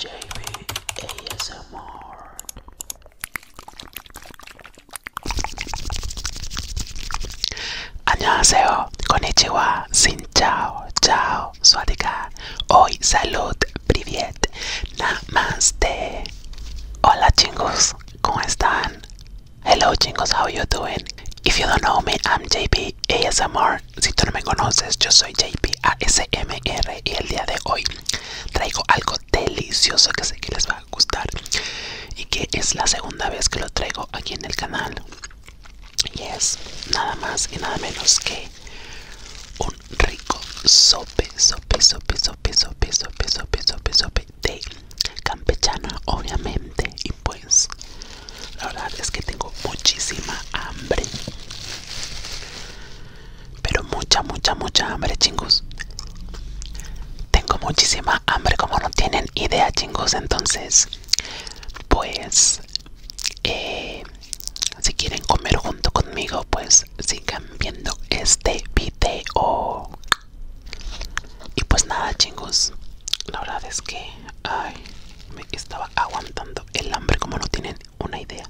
JB ASMR con Konnichiwa. Sin chao. Chao. suática Hoy salud. más Namaste. Hola chingos. ¿Cómo están? Hello chicos, how you doing? If you don't know me, I'm JP ASMR. Si tú no me conoces, yo soy JP ASMR y el día de hoy traigo algo delicioso que sé que les va a gustar y que es la segunda vez que lo traigo aquí en el canal. Y es nada más y nada menos que un rico sope, sope, sope, sope, sope, sope, sope, sope, sope de campechana obviamente y pues la verdad es que tengo muchísima hambre pero mucha mucha mucha hambre chingos tengo muchísima hambre como no tienen idea chingos entonces pues eh, si quieren comer junto conmigo pues sigan viendo este video y pues nada chingos, la verdad es que ay, me estaba aguantando el hambre como no tienen una idea.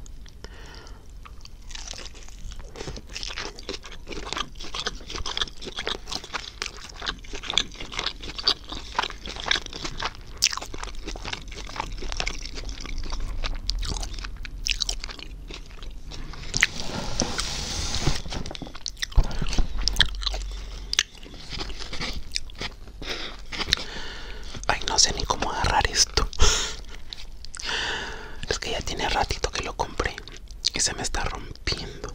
Ay, no sé ni cómo agarrar esto. Es que ya tiene ratito que lo compré y se me está rompiendo.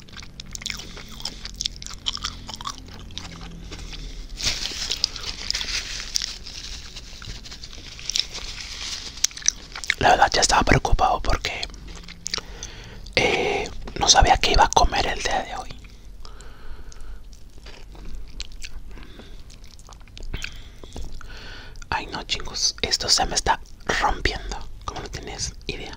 La verdad ya estaba preocupado porque eh, no sabía qué iba a comer el día de hoy. Ay no chingos, esto se me está rompiendo, como no tienes idea.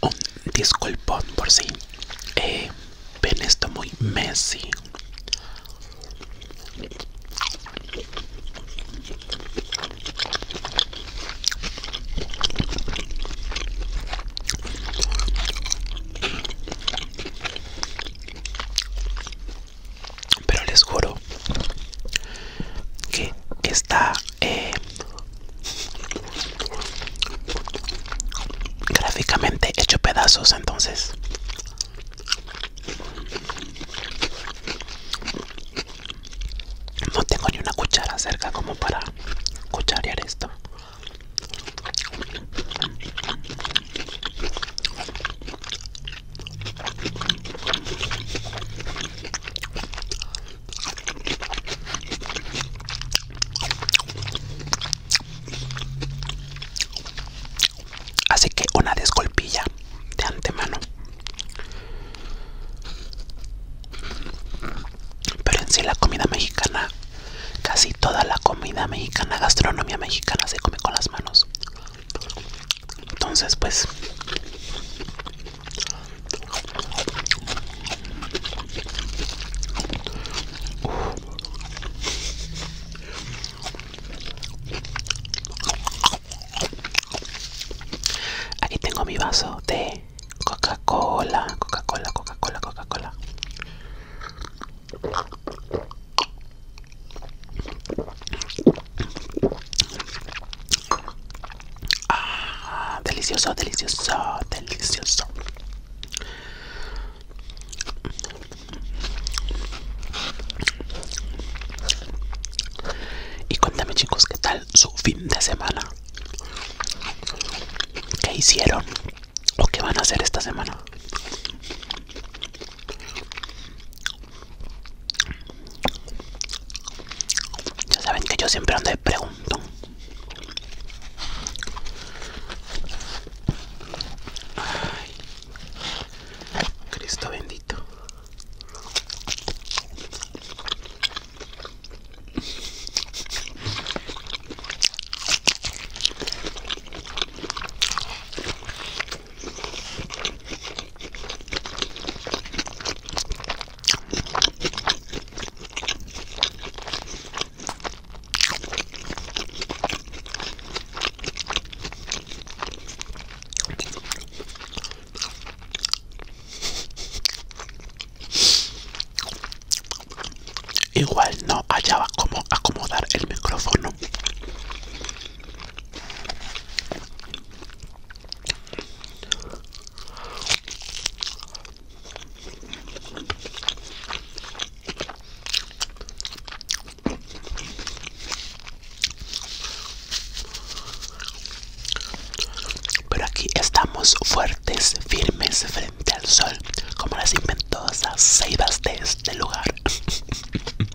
un disculpón por si eh, ven esto muy messy. Pero les juro que está eh, gráficamente hecho pedazos entonces no tengo ni una cuchara cerca como para cucharear esto Así que una descolpilla de antemano. Pero en sí la comida mexicana, casi toda la comida mexicana, gastronomía mexicana se come con las manos. Entonces pues Aquí tengo mi vaso de Coca-Cola, Coca-Cola, Coca-Cola, Coca-Cola. Ah, delicioso, delicioso, delicioso. Y cuéntame chicos, ¿qué tal su fin de semana? ¿Qué hicieron? ¿O qué van a hacer esta semana? Ya saben que yo siempre ando de pregunto. Cristo bendito. Igual no hallaba cómo acomodar el micrófono. Pero aquí estamos fuertes, firmes frente al sol, como las inventosas ceibas de este lugar.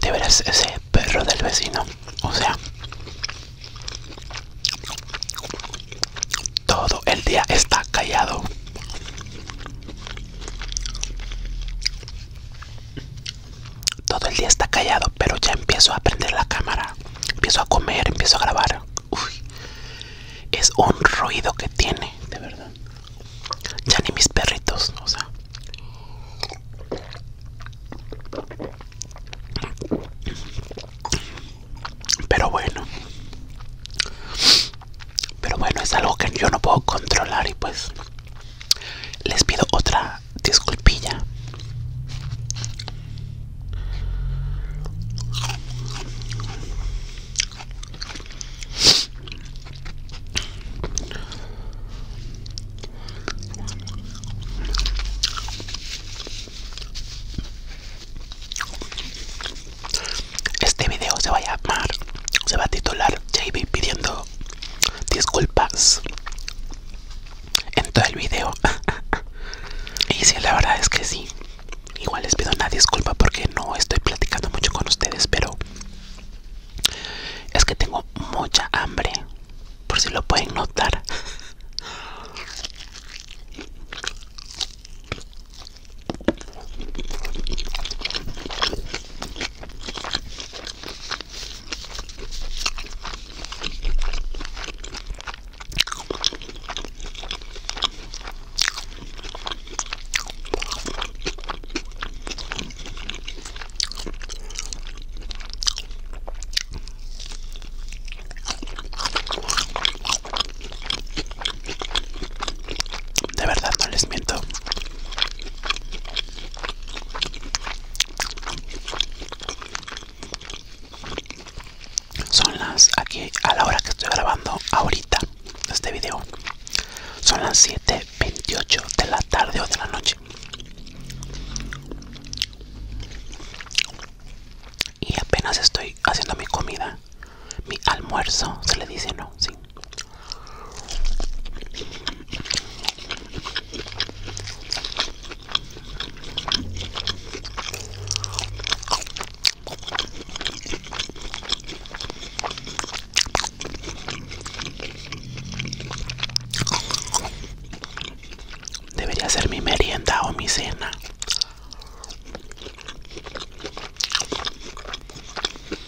De veras ese perro del vecino, o sea, todo el día está callado. Todo el día está callado, pero ya empiezo a prender la cámara. Empiezo a comer, empiezo a grabar. Uy, es un ruido que tiene, de verdad. Ya ni mis perritos, o sea. Pero bueno. Pero bueno, es algo que yo no puedo controlar y pues les pido otra disculpilla. Este video se va a llamar, se va a titular JB pidiendo disculpas en todo el video. y si la verdad es que sí. Igual les pido una disculpa porque no estoy platicando mucho con ustedes, pero es que tengo mucha hambre, por si lo pueden notar. De verdad no les miento. Son las aquí a la hora que estoy grabando ahorita este video. Son las 7:28 de la tarde o de la noche. Y apenas estoy haciendo mi comida, mi almuerzo, se le dice, no, sí. Debería ser mi merienda o mi cena.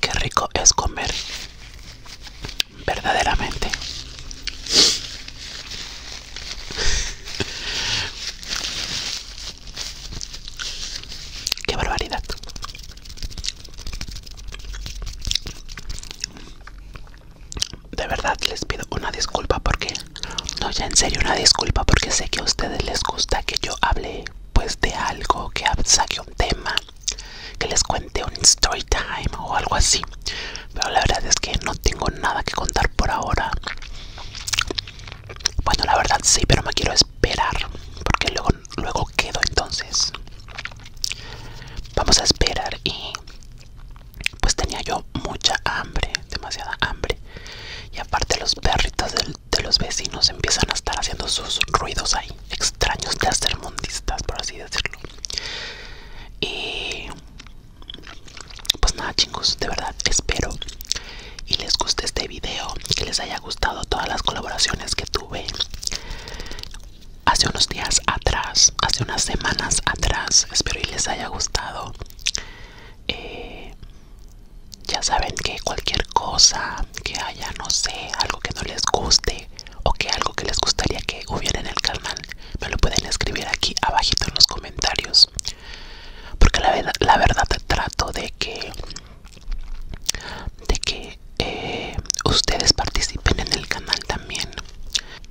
Qué rico es comer verdaderamente. Qué barbaridad de verdad les pido una disculpa porque no ya en serio una disculpa porque sé que a ustedes les gusta que yo hable pues de algo que saque un tema que les cuente un story time o algo así pero la verdad es que no tengo nada que contar por ahora bueno la verdad sí pero me quiero esperar porque luego luego quedo entonces Vamos a esperar y pues tenía yo mucha hambre, demasiada hambre. Y aparte los perritos de los vecinos empiezan a estar haciendo sus ruidos ahí, extraños de hacer mundistas, por así decirlo. Y pues nada chicos, de verdad espero y les guste este video, que les haya gustado todas las colaboraciones que tuve hace unos días atrás, hace unas semanas atrás. Espero y les haya gustado. Eh, ya saben que cualquier cosa que haya, no sé, algo que no les guste o que algo que les gustaría que hubiera en el canal, me lo pueden escribir aquí abajito en los comentarios. Porque la, la verdad trato de que de que eh, ustedes participen en el canal también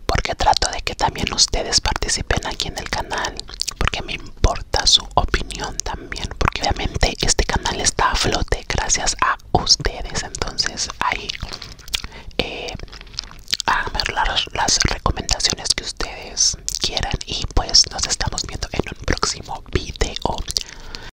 porque trato de que también ustedes participen aquí en el canal porque me importa su opinión también porque obviamente este canal está a flote gracias a ustedes entonces ahí eh, las, las recomendaciones que ustedes quieran y pues nos estamos viendo en un próximo video